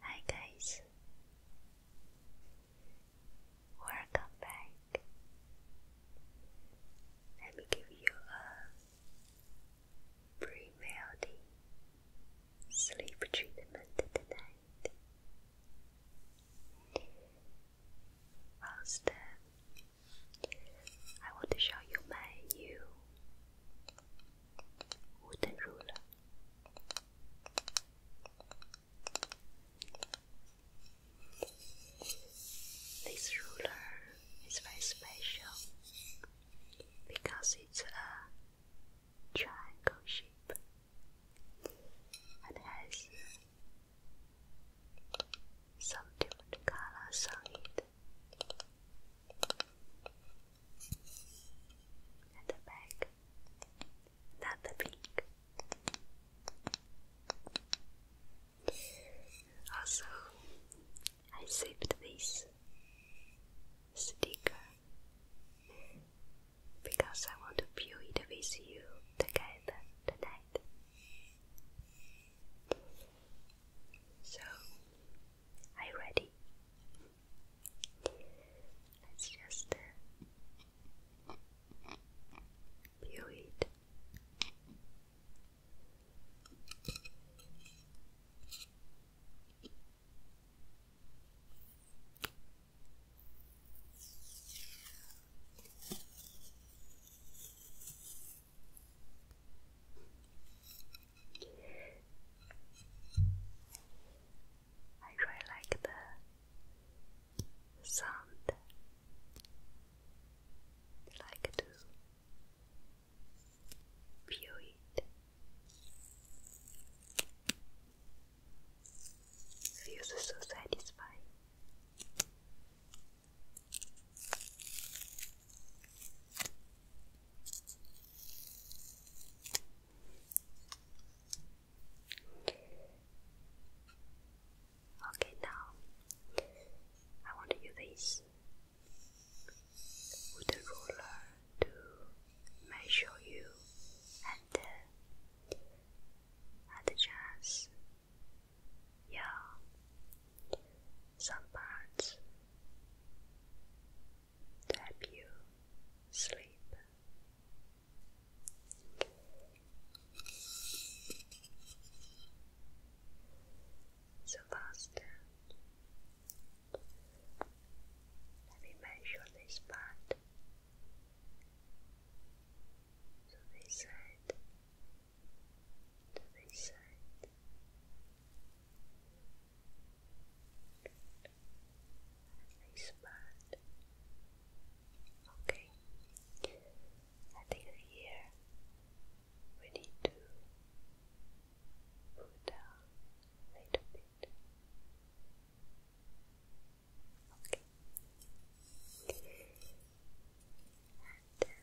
Hi guys, welcome back. Let me give you a pre-melting sleep treatment tonight. First, uh, I want to show you my new wooden ruler. This ruler is very special because it's a triangle shape and has some different colors on at the back, not the pink. Also, I saved this sticker because I want to view it with you together tonight. So, are you ready? Let's just uh, it. I really like the sound. like to view it. Feels so satisfying. Okay, now I want to use this wooden ruler to measure you and uh, at the chance some parts to help you sleep. So first, let me measure this part. To this side, to this side, wristband. Okay, I think here we need to pull down a little bit. Okay. And then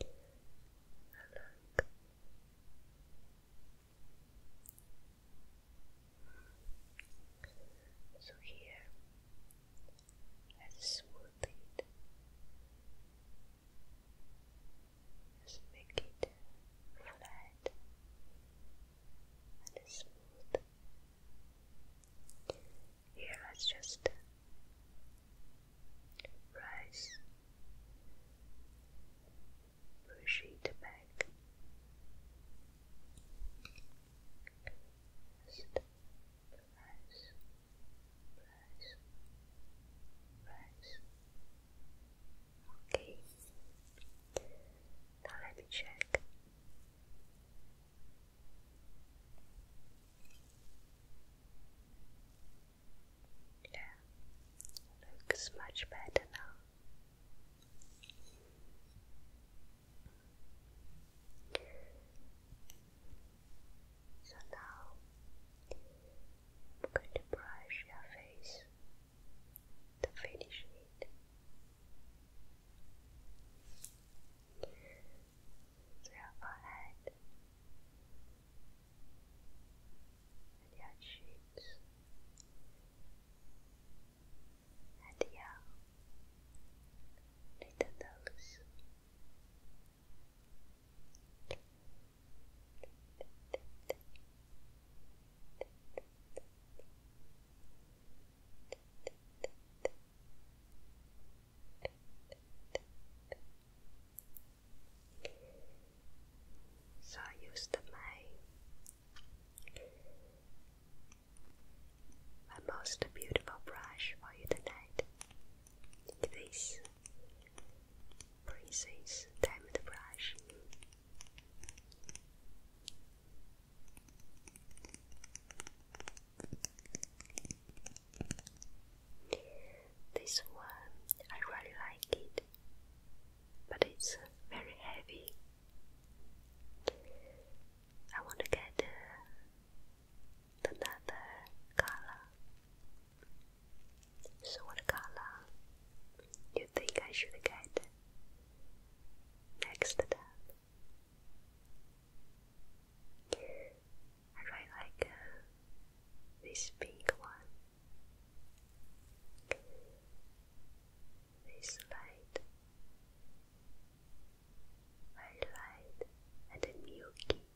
along so here, let's smooth it. Let's make it flat and smooth. Here, let's just Press, push it back, just press, press, Okay, now let me check. Yeah, looks much better now. So now I'm going to brush your face to finish it. your forehead, and your cheeks and your little nose. So I used my my most beautiful brush for you tonight. This Princess Diamond Brush. This one, I really like it, but it's very heavy. I want to get uh, another color. So, what color you think I should get next I really like uh, this big one. This light, very light and a milky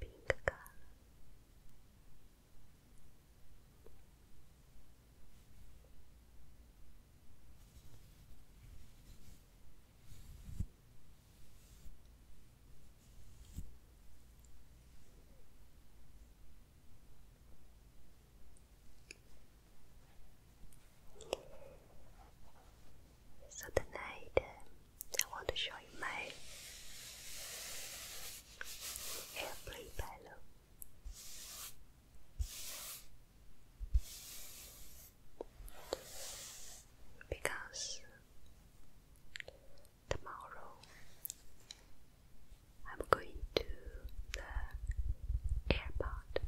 pink color. So tonight um, I want to show you my airplane pillow. Because Tomorrow I'm going to the airport.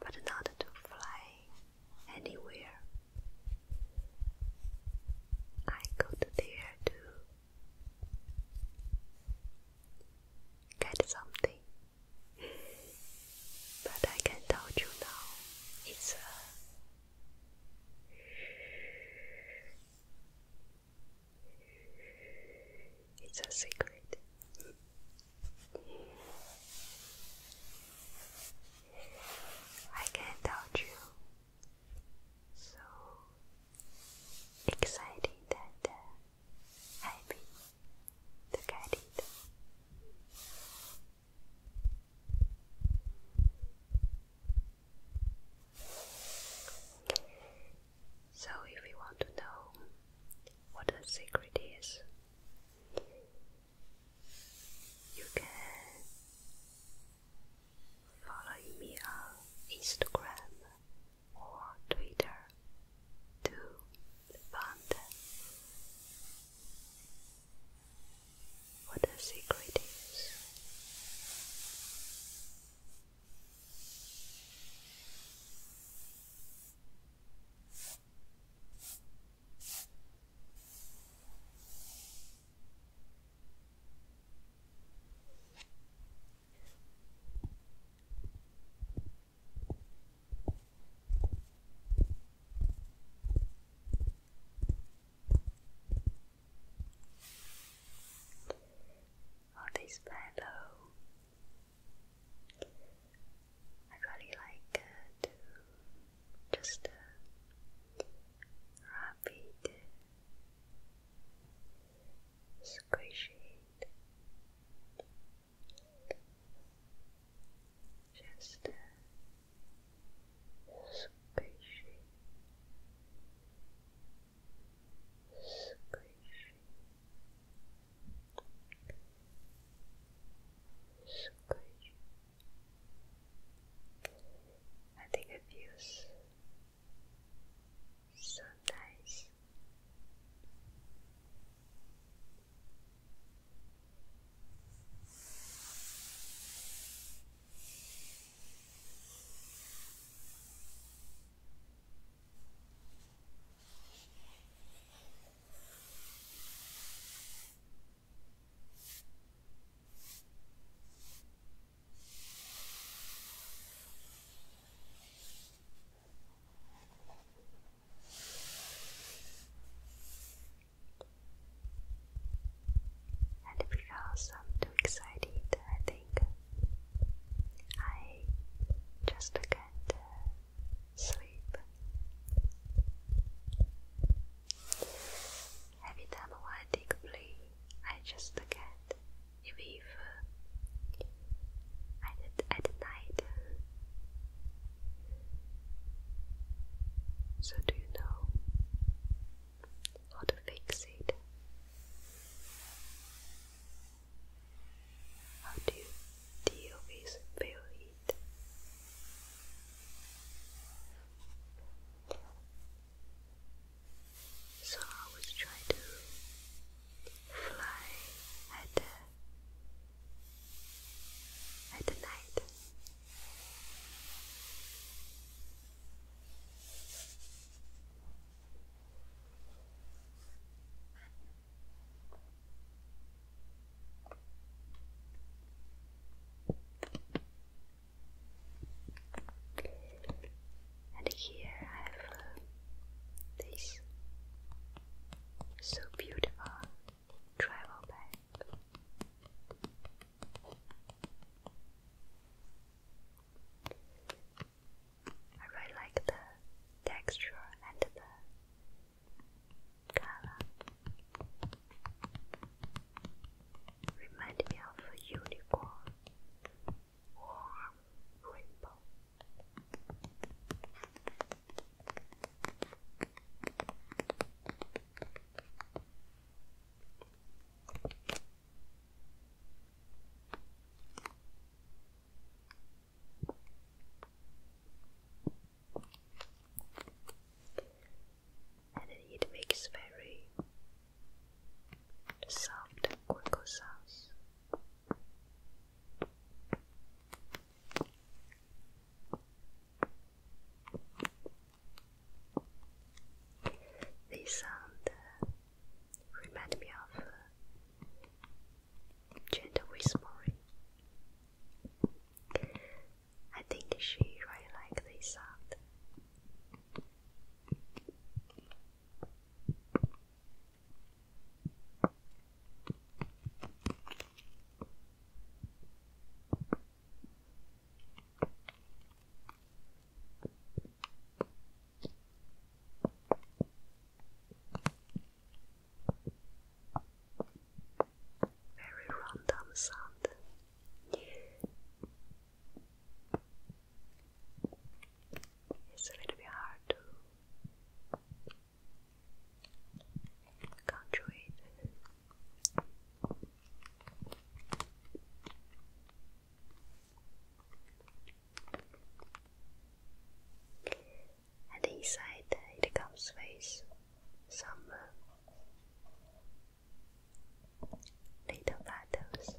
But not to fly anywhere. I go there to get something but I can tell you now, it's a uh, it's a secret. I can tell you. So exciting that. Uh, Happy to get So, if you want to know what the secret is, you can follow me on Instagram or Twitter to fund what the secret is. All this pillow. I really like to just wrap it squishy it. Just squishy, squishy, squishy. I think I've so nice because I'm um, too excited, I think I just can't uh, sleep. Every time I take a play, I just can't with uh, at at night. So do you know how to fix it? How do you deal with feel it? So I was trying to fly at the, at the night and here I have uh, this so beautiful travel bag. I really like the texture and the color. Remind me of a unicorn or rainbow. And it makes very soft cocoa sauce. sound uh, me of uh, gentle whispering. I think she really likes this sound. Very random sound it's a little bit hard to control it. And inside uh, it comes some uh, little battles.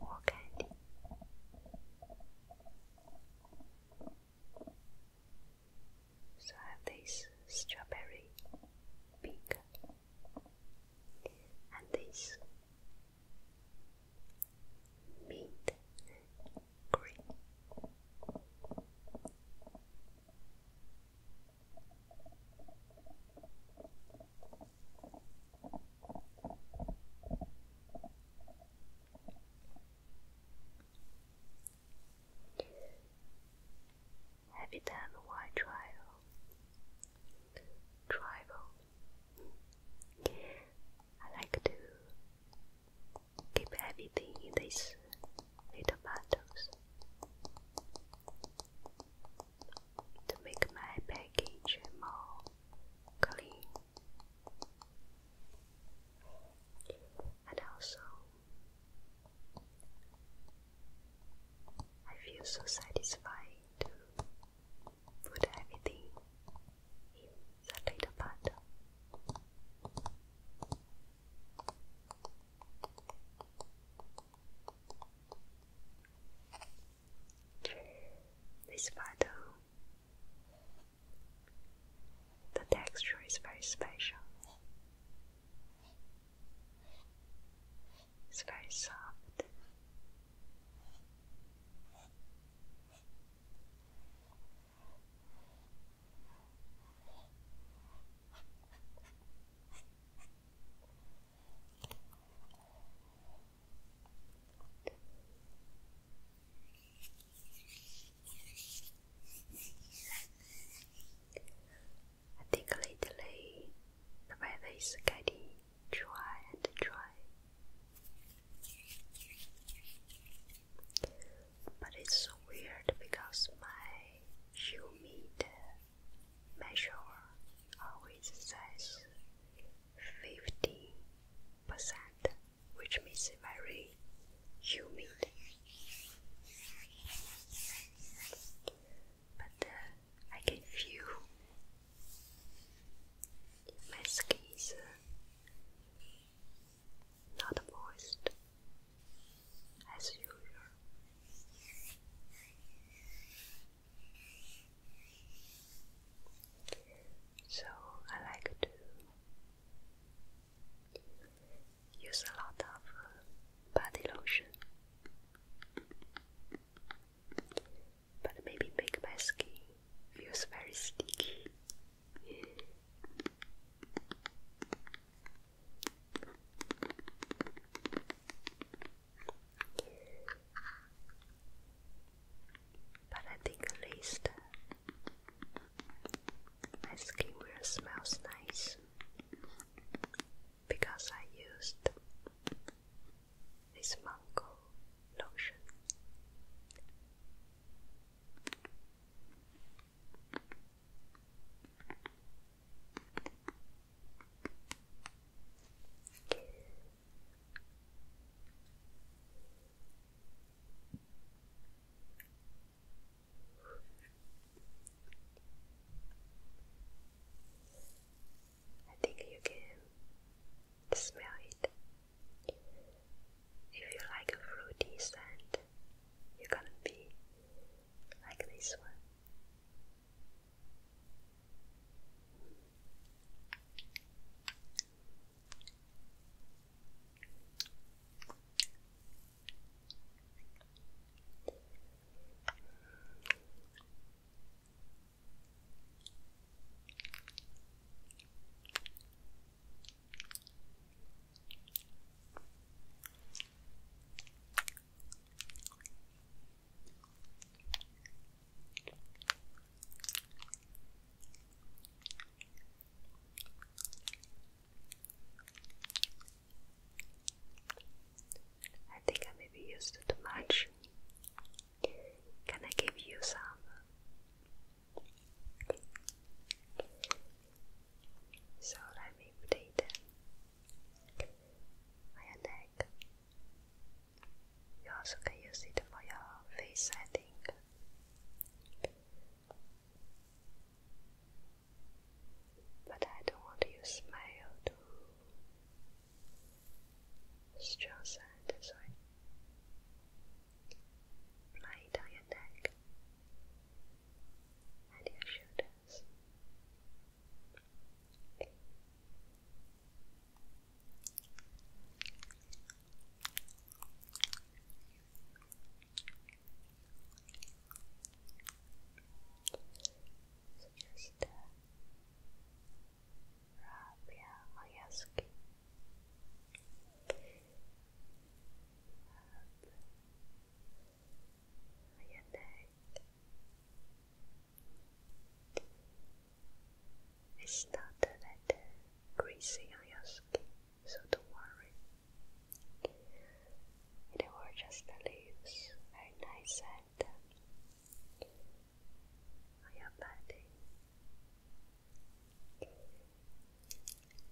War So I have this strawberry pink and this mint green. Have you done why trial? Tribal. I like to keep everything in these little bottles to make my package more clean. And also, I feel so satisfied to put everything in the little pot. This bottle, the texture is very special. It's very soft. I think lately the weather is getting dry and dry. But it's so weird because my humid measure always says 50%, which means very humid. But uh, I can feel my skin is uh, not moist as usual. So I like to use a lot of uh, body lotion, but maybe make my skin feels very sticky. But I think at least my skincare smells nice because I used this mango lotion. I think you can smell it. If you like a fruity scent, you're gonna be like this one. I think I maybe used too much. Can I give you some? So let me play them. On your neck. You can use it for your face setting. But I don't want you smile to strengthen this way. Apply on your neck and your shoulders. So just uh, rub your neck it's not that greasy on your skin so don't worry it will just leaves very nice and on your body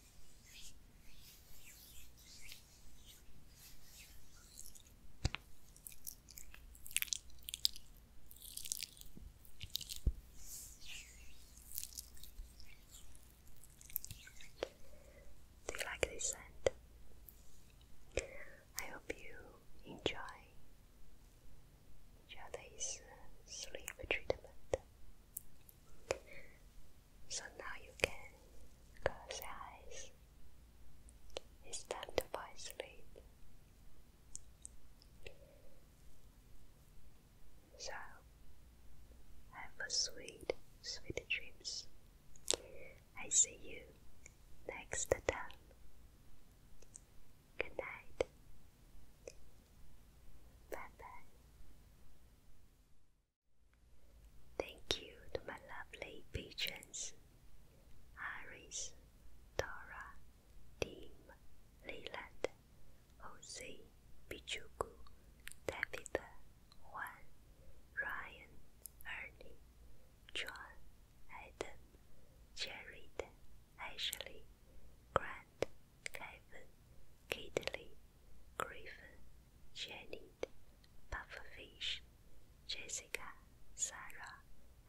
Do you like this scent? I hope you enjoy each uh, sleep treatment. So now you can close your eyes. It's time to fall asleep. So, have a sweet, sweet dreams. I see you next time. Good night. Bye bye. Thank you to my lovely patrons Iris, Dora, Tim, Leland, Jose, Pichuku, Tabitha, Juan, Ryan, Ernie, John, Adam, Jared, Ashley, Grant, Ivan, Kidley, Griffin, Jenny, Pufferfish, Jessica, Sarah,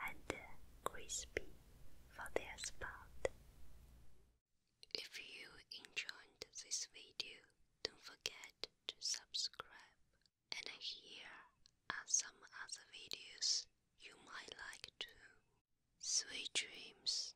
and uh, Crispy for their support. If you enjoyed this video, don't forget to subscribe. And here are some other videos you might like too. Sweet dreams.